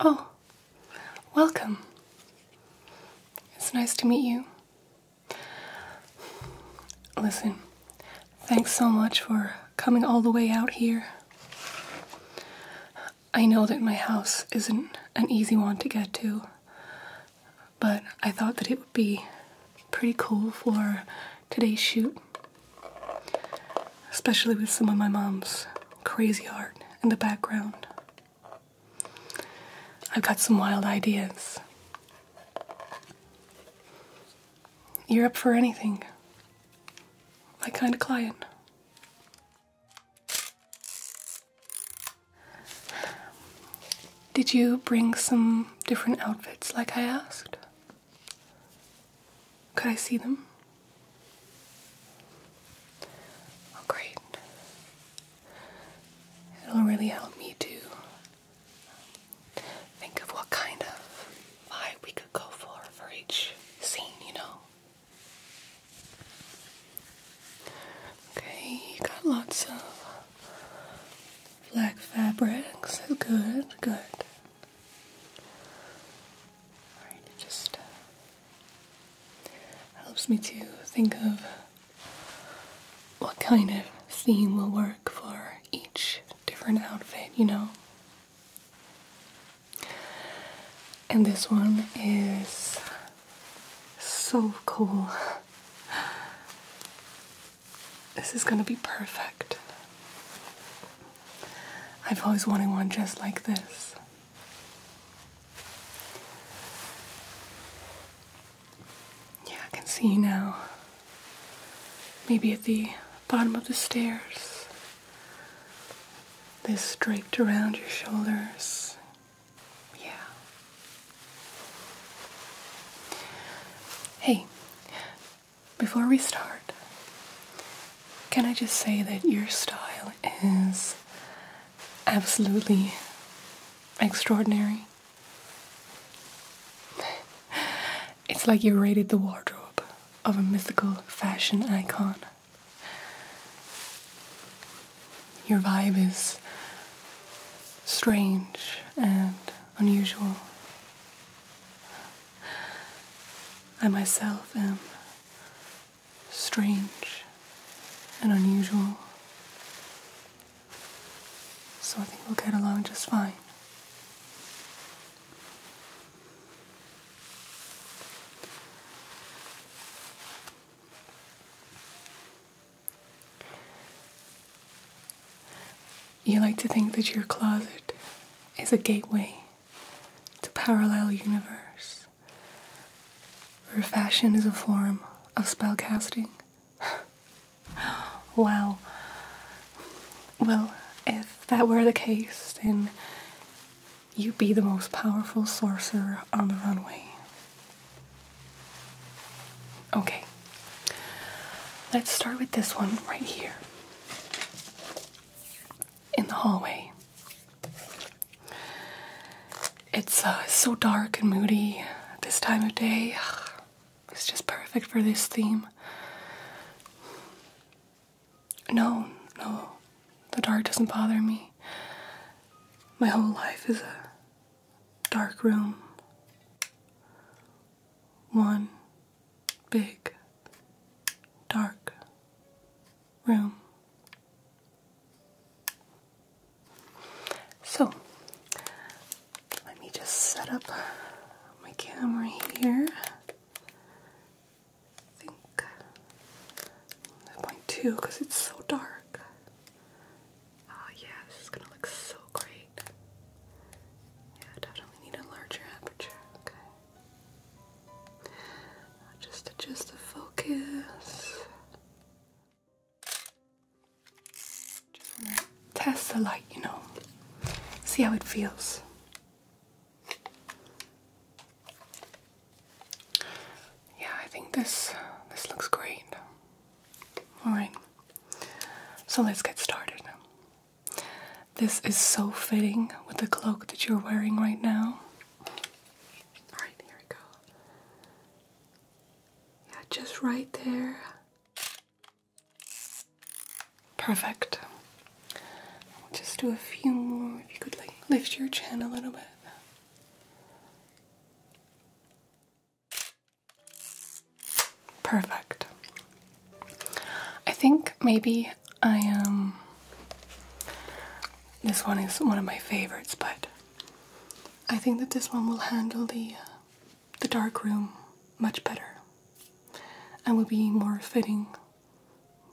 Oh, welcome. It's nice to meet you. Listen, thanks so much for coming all the way out here. I know that my house isn't an easy one to get to, but I thought that it would be pretty cool for today's shoot, especially with some of my mom's crazy art in the background. I've got some wild ideas. You're up for anything. My kind of client. Did you bring some different outfits like I asked? Could I see them? Oh, great. It'll really help me to think of what kind of vibe we could go for for each scene, you know? Okay, you got lots of black fabrics. Good, good. it just uh, helps me to think of what kind of theme will work for each different outfit, you know? And this one is so cool. This is gonna be perfect. I've always wanted one just like this. Yeah, I can see you now. Maybe at the bottom of the stairs. This draped around your shoulders, yeah. Hey, before we start, can I just say that your style is absolutely extraordinary? It's like you raided the wardrobe of a mythical fashion icon. Your vibe is strange and unusual. I myself am strange and unusual. So I think we'll get along just fine. You like to think that your closet is a gateway to parallel universe, where fashion is a form of spellcasting. Well, Well, if that were the case, then you'd be the most powerful sorcerer on the runway. Okay, let's start with this one right here in the hallway. It's uh, so dark and moody this time of day. It's just perfect for this theme. No, no, the dark doesn't bother me. My whole life is a dark room, one big dark room. So, let me just set up my camera here. I think I because it's so dark. Oh yeah, this is gonna look so great. Yeah, definitely need a larger aperture. Okay. Just adjust the focus. test the light, you know. See how it feels yeah, I think this this looks great. All right, so let's get started. This is so fitting with the cloak that you're wearing right now. All right, here we go. Yeah, just right there. Perfect. We'll just do a few more. If you could like lift your chin a little bit. Perfect. I think maybe I am. Um, this one is one of my favorites, but I think that this one will handle the uh, the dark room much better, and will be more fitting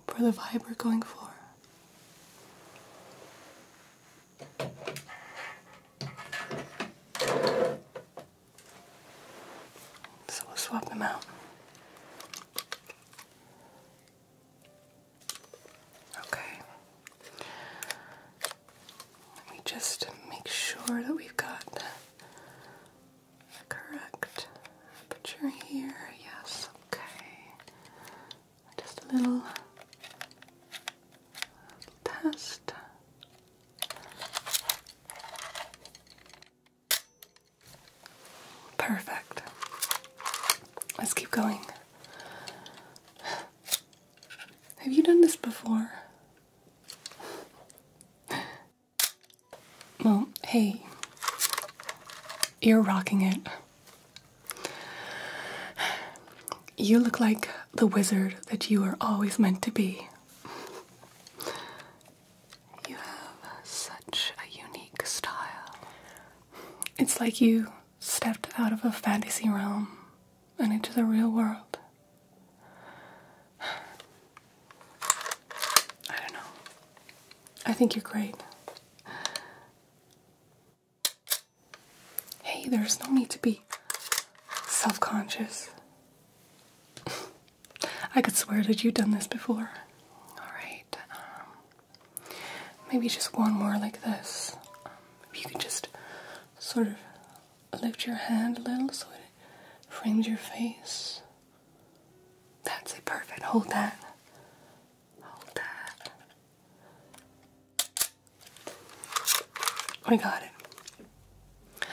for the vibe we're going for. So we'll swap them out. Okay. Let me just make sure that we've got the correct aperture here. Yes, okay just a little, test. Perfect. Let's keep going. Have you done this before? Well, hey, you're rocking it. You look like the wizard that you are always meant to be. You have such a unique style. It's like you stepped out of a fantasy realm and into the real world. I don't know. I think you're great. Hey, there's no need to be self conscious. I could swear that you've done this before. Alright, um, maybe just one more like this. Um, if you could just sort of lift your hand a little so it frames your face. That's it, perfect. Hold that. Hold that. We got it.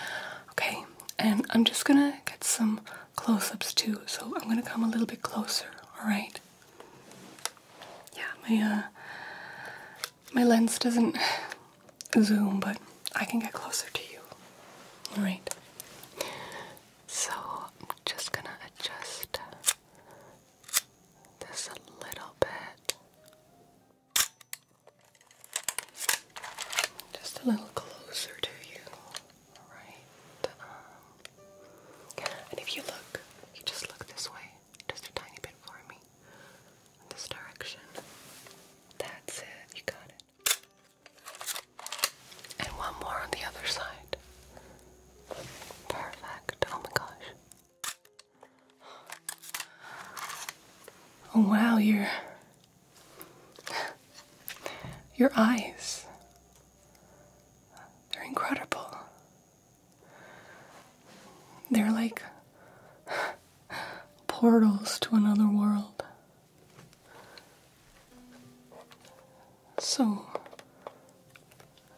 Okay, and I'm just gonna get some close ups too, so I'm gonna come a little bit closer, alright? Yeah, my uh, my lens doesn't zoom, but I can get closer to you. Alright. So I'm just gonna adjust just a little bit. Just a little closer to you, right? Um, and if you look, you just look this way, just a tiny bit for me, in this direction. That's it, you got it. And one more on the other side. Perfect. Oh my gosh. Oh wow, your your eyes. They're incredible. They're like portals to another world so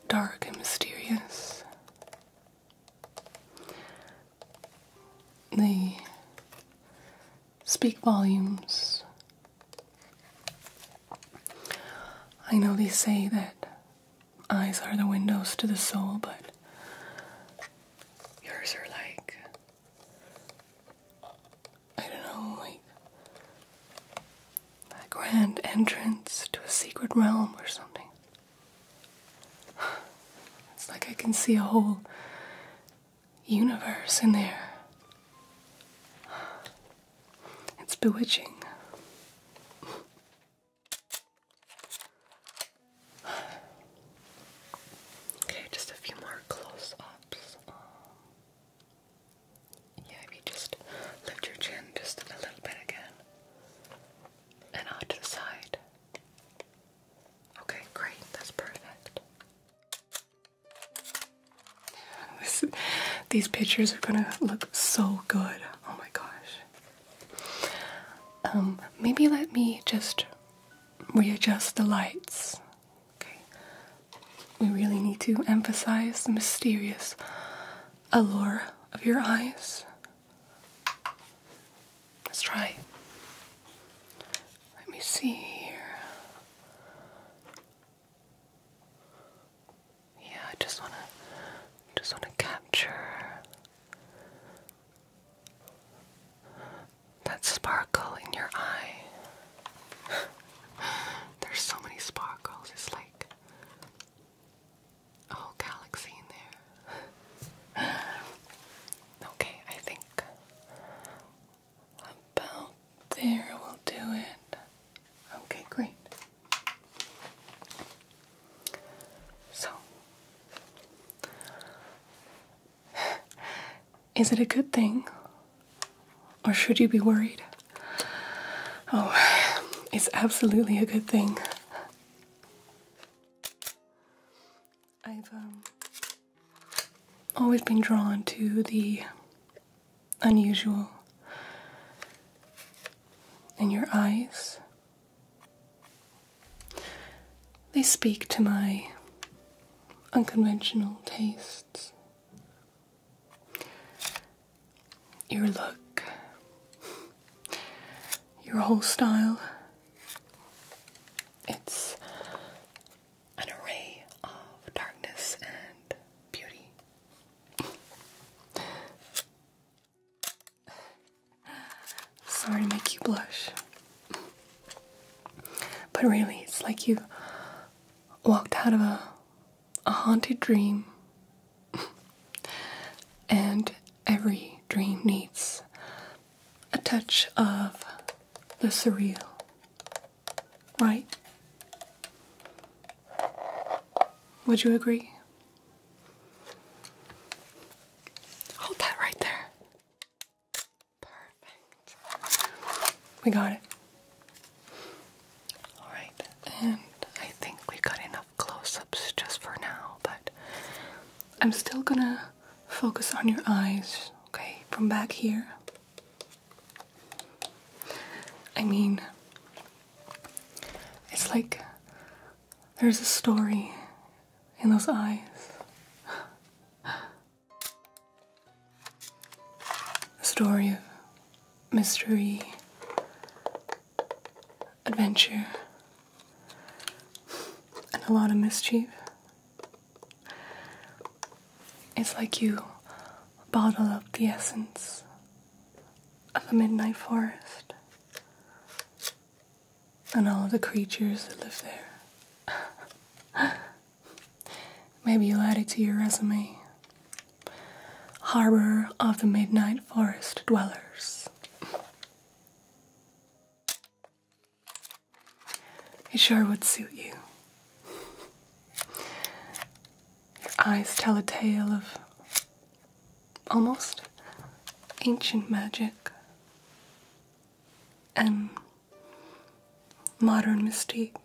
dark and mysterious. They speak volumes. I know they say that eyes are the windows to the soul, but yours are like, I don't know, like that grand entrance to a secret realm or something. It's like I can see a whole universe in there. It's bewitching. Okay, just a few more close ups. Yeah, if you just lift your chin just a little bit again. And out to the side. Okay, great. That's perfect. these pictures are gonna look so good. Oh my gosh. Um, maybe let me just readjust the lights. Okay. We really need to emphasize the mysterious allure of your eyes. Let's try. Let me see here. Yeah, I just wanna just wanna capture that sparkle in your eye. There's so many sparkles, it's like oh, galaxy in there. okay, I think about there will do it. Okay, great. So, is it a good thing or should you be worried? Oh, it's absolutely a good thing. I've um, always been drawn to the unusual in your eyes. They speak to my unconventional tastes. Your look, your whole style. It's an array of darkness and beauty. Sorry to make you blush. But really, it's like you walked out of a a haunted dream. and every dream needs a touch of the surreal, right? Would you agree? Hold that right there. Perfect. We got it. Alright, and I think we got enough close ups just for now, but I'm still gonna focus on your eyes, okay, from back here. I mean, it's like there's a story in those eyes a story of mystery, adventure, and a lot of mischief. It's like you bottle up the essence of a midnight forest and all the creatures that live there. Maybe you'll add it to your resume. Harbor of the Midnight Forest Dwellers. It sure would suit you. Your eyes tell a tale of almost ancient magic and modern mystique.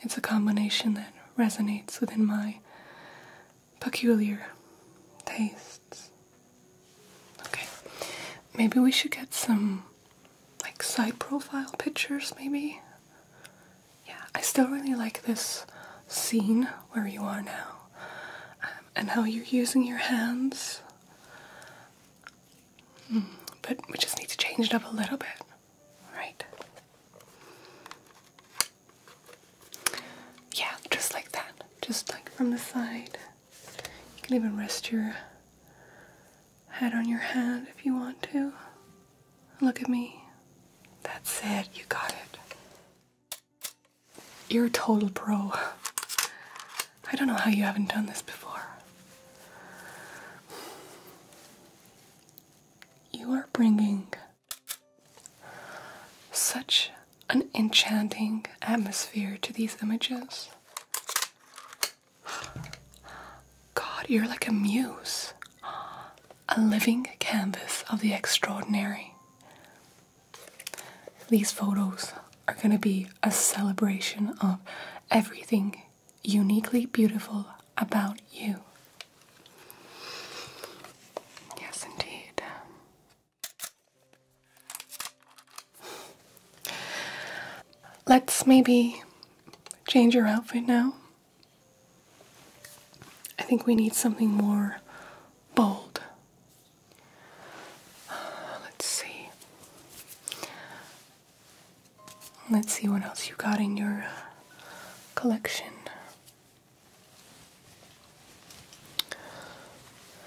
It's a combination that resonates within my peculiar tastes. Okay, maybe we should get some like side profile pictures, maybe? Yeah, I still really like this scene where you are now um, and how you're using your hands but we just need to change it up a little bit, right? Yeah, just like that. Just like from the side. You can even rest your head on your hand if you want to. Look at me. That's it. You got it. You're a total pro. I don't know how you haven't done this before. You are bringing such an enchanting atmosphere to these images. God, you're like a muse, a living canvas of the extraordinary. These photos are going to be a celebration of everything uniquely beautiful about you. Yes, indeed. Let's maybe change your outfit now. I think we need something more bold Let's see. Let's see what else you got in your uh, collection.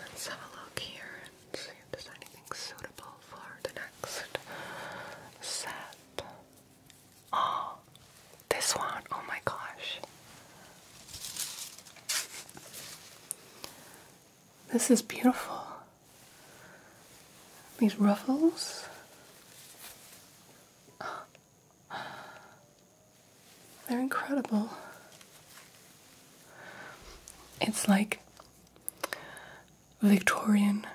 Let's have a look here and see if there's anything suitable for the next set. Oh, this one! Oh my gosh. This is beautiful. These ruffles. They're incredible. It's like Victorian,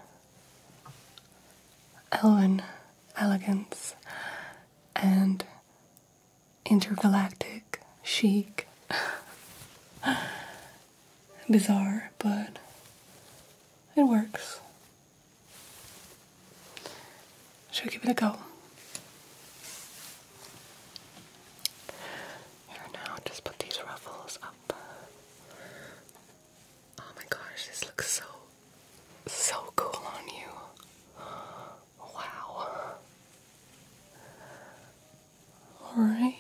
Elven elegance, and intergalactic, chic, bizarre, but it works. Should we give it a go? Here now, just put these ruffles up. Oh my gosh, this looks so, so cool on you. Wow. Alright.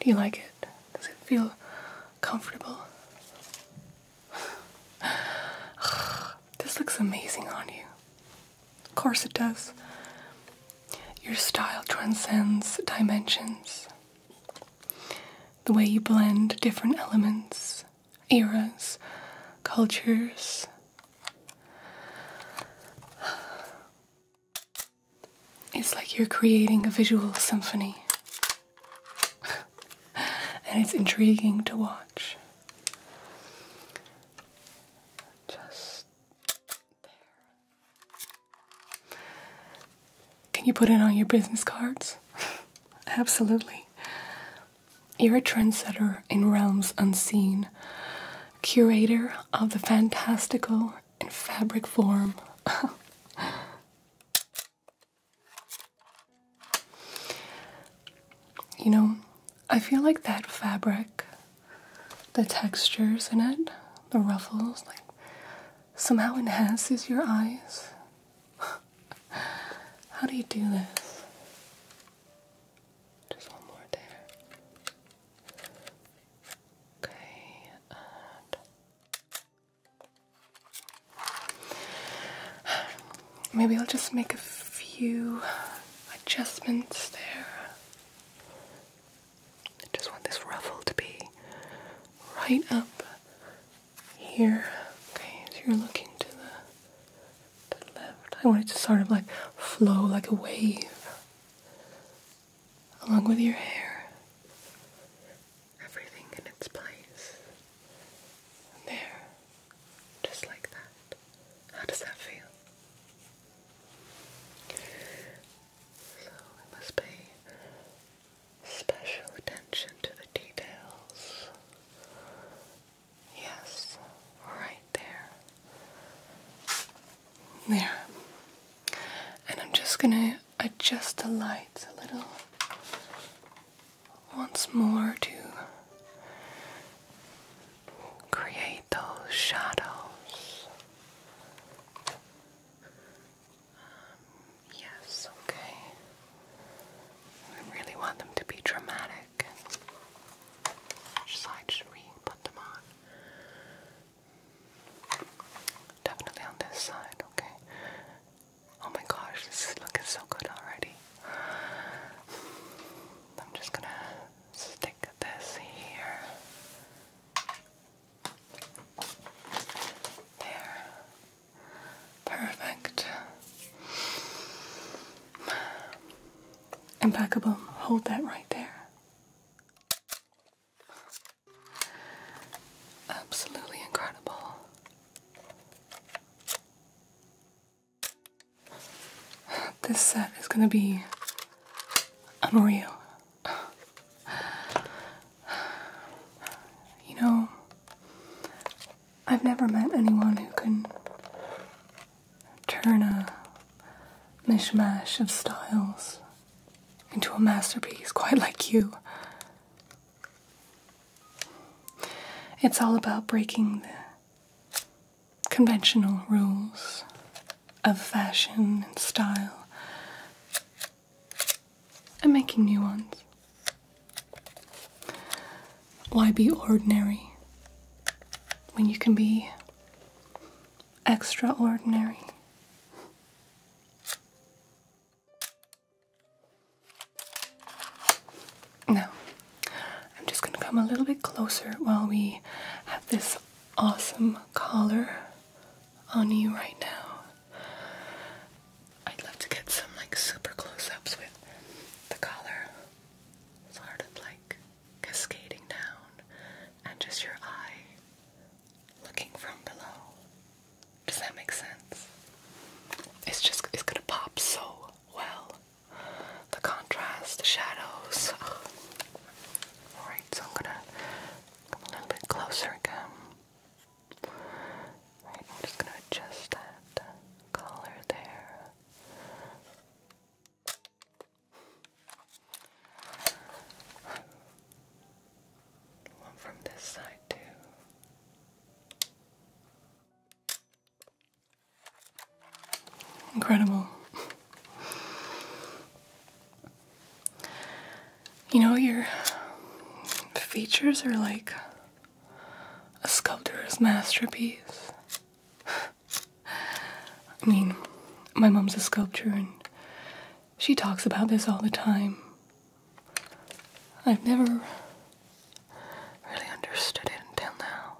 Do you like it? Does it feel comfortable? this looks amazing on you. Of course it does. Your style transcends dimensions. The way you blend different elements, eras, cultures, it's like you're creating a visual symphony. and it's intriguing to watch. Just Can you put it on your business cards? Absolutely. You're a trendsetter in realms unseen, curator of the fantastical in fabric form. you know, I feel like that fabric, the textures in it, the ruffles, like somehow enhances your eyes. How do you do this? Just one more there. Okay, maybe I'll just make a few adjustments there. I just want this ruffle to be right up here. Okay, so you're looking to the and left. I want it to sort of like flow like a wave along with your hair. Everything in its place. there. Just like that. How does that feel? So it must pay special attention to the details Yes, right there. There. And I'm just gonna adjust the lights a little once more to create those shadows. Um, yes, okay. I really want them to be dramatic. Which side should we put them on? Definitely on this side, okay? Oh my gosh, this is looking so good already. I'm just gonna stick this here. There. Perfect. Impeccable. Hold that right there. Absolutely incredible. This set is going to be unreal. You know, I've never met anyone who can turn a mishmash of styles into a masterpiece quite like you. It's all about breaking the conventional rules of fashion and style and making new ones why be ordinary when you can be extraordinary? Now, I'm just going to come a little bit closer while we have this awesome collar on you right now. I'd love to get some like super close ups with the collar sort like cascading down, and just your eye looking from below. Does that make sense? It's just, it's gonna pop so well. The contrast, the shadows. Oh. Alright, so I'm gonna come a little bit closer again. Right, I'm just gonna adjust that color there from this side, too. Incredible. You know, your features are like a sculptor's masterpiece. I mean, my mom's a sculptor and she talks about this all the time. I've never really understood it until now.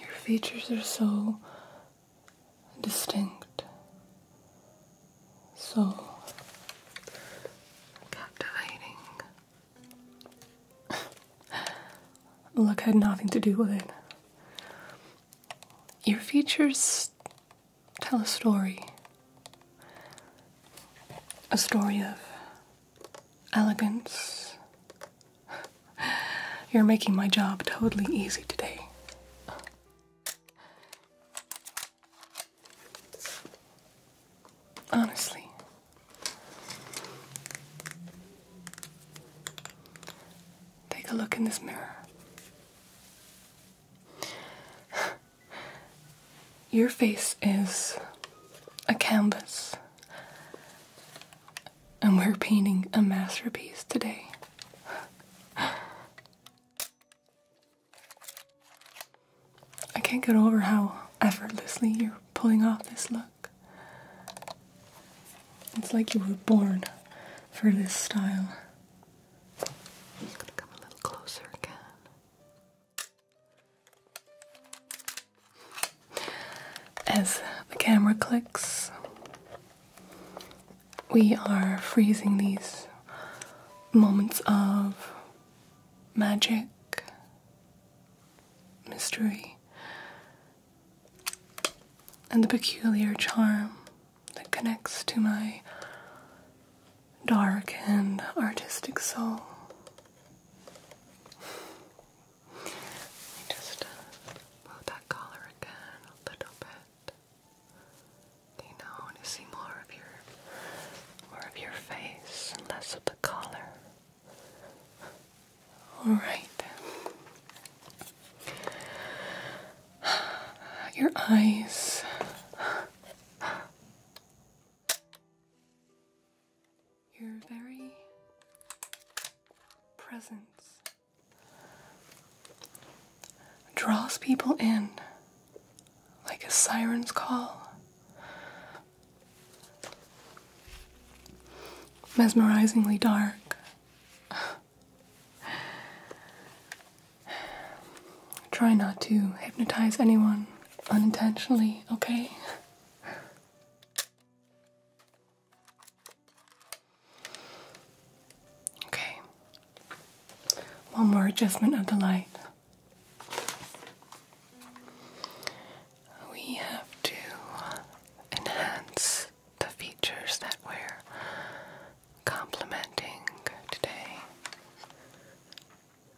Your features are so distinct so captivating. Luck had nothing to do with it. Your features tell a story. A story of elegance. You're making my job totally easy today. Honestly. Take a look in this mirror. Your face is a canvas, and we're painting a masterpiece today. I can't get over how effortlessly you're pulling off this look. It's like you were born for this style. come a little closer again. As the camera clicks, we are freezing these moments of magic, mystery, and the peculiar charm that connects to my dark and artistic soul. Let just uh, that collar again a little bit. You know, I want to see more of your, more of your face less of the collar. All right Your eyes. Your very presence draws people in like a siren's call. Mesmerizingly dark. Try not to hypnotize anyone unintentionally, okay? Okay. One more adjustment of the light. We have to enhance the features that we're complementing today.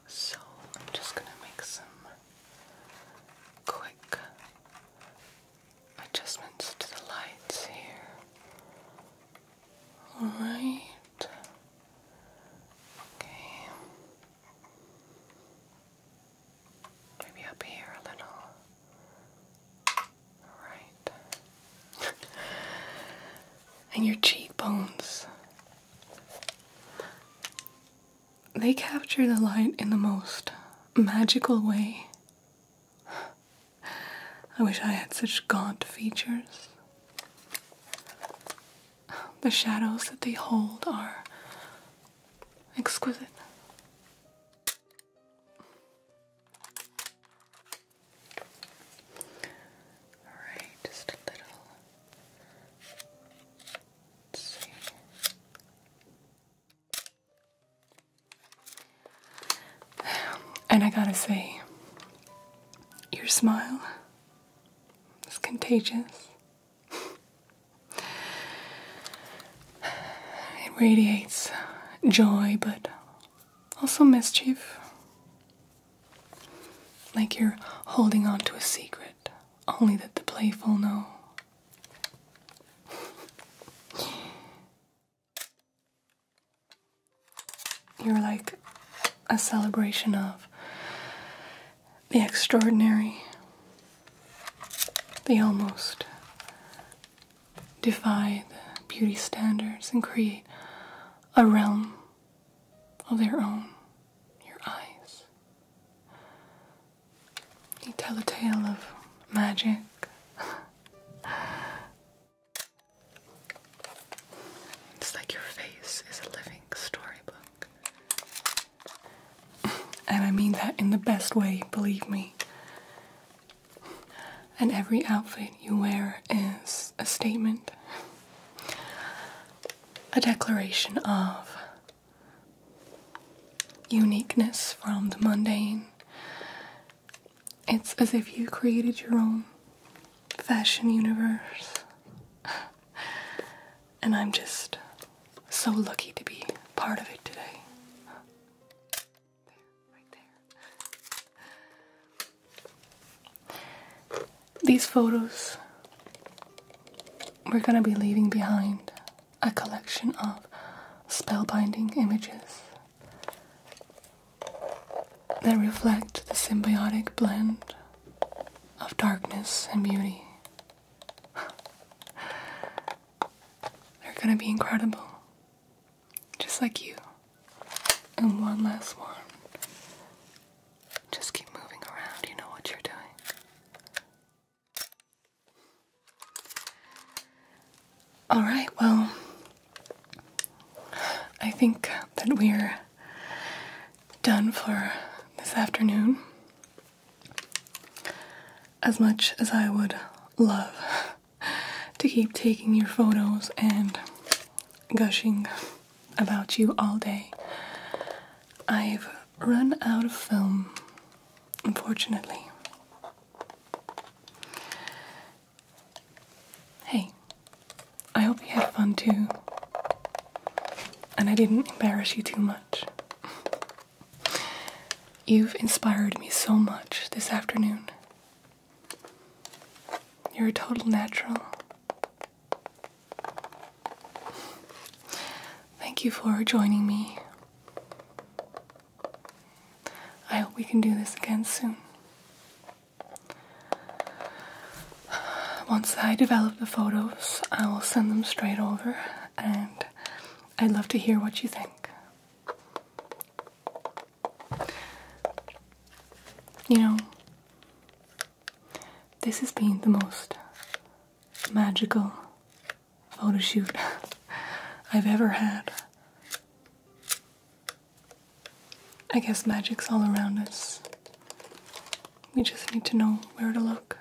So I'm just going to make some quick adjustments to the lights here. Alright. Okay. Maybe up here a little. Alright. and your cheekbones. They capture the light in the most magical way. I wish I had such gaunt features. The shadows that they hold are exquisite. All right, just a little. see. And I gotta say, your smile is contagious. It radiates joy, but also mischief. Like you're holding on to a secret, only that the playful know. You're like a celebration of the extraordinary, the almost. Defy the beauty standards and create a realm of their own. Your eyes. You tell a tale of magic. It's like your face is a living storybook. And I mean that in the best way, believe me. And every outfit you wear is a statement, a declaration of uniqueness from the mundane it's as if you created your own fashion universe. and I'm just so lucky to be part of it today. These photos, we're going to be leaving behind a collection of spellbinding images that reflect the symbiotic blend of darkness and beauty. They're gonna be incredible, just like you. And one last one. Just keep moving around, you know what you're doing. All right, well, I think that we're done for this afternoon. As much as I would love to keep taking your photos and gushing about you all day, I've run out of film, unfortunately. Hey, I hope you had fun too. And I didn't embarrass you too much. You've inspired me so much this afternoon. You're a total natural. Thank you for joining me. I hope we can do this again soon. Once I develop the photos, I will send them straight over and I'd love to hear what you think. You know, this has been the most magical photoshoot I've ever had. I guess magic's all around us. We just need to know where to look.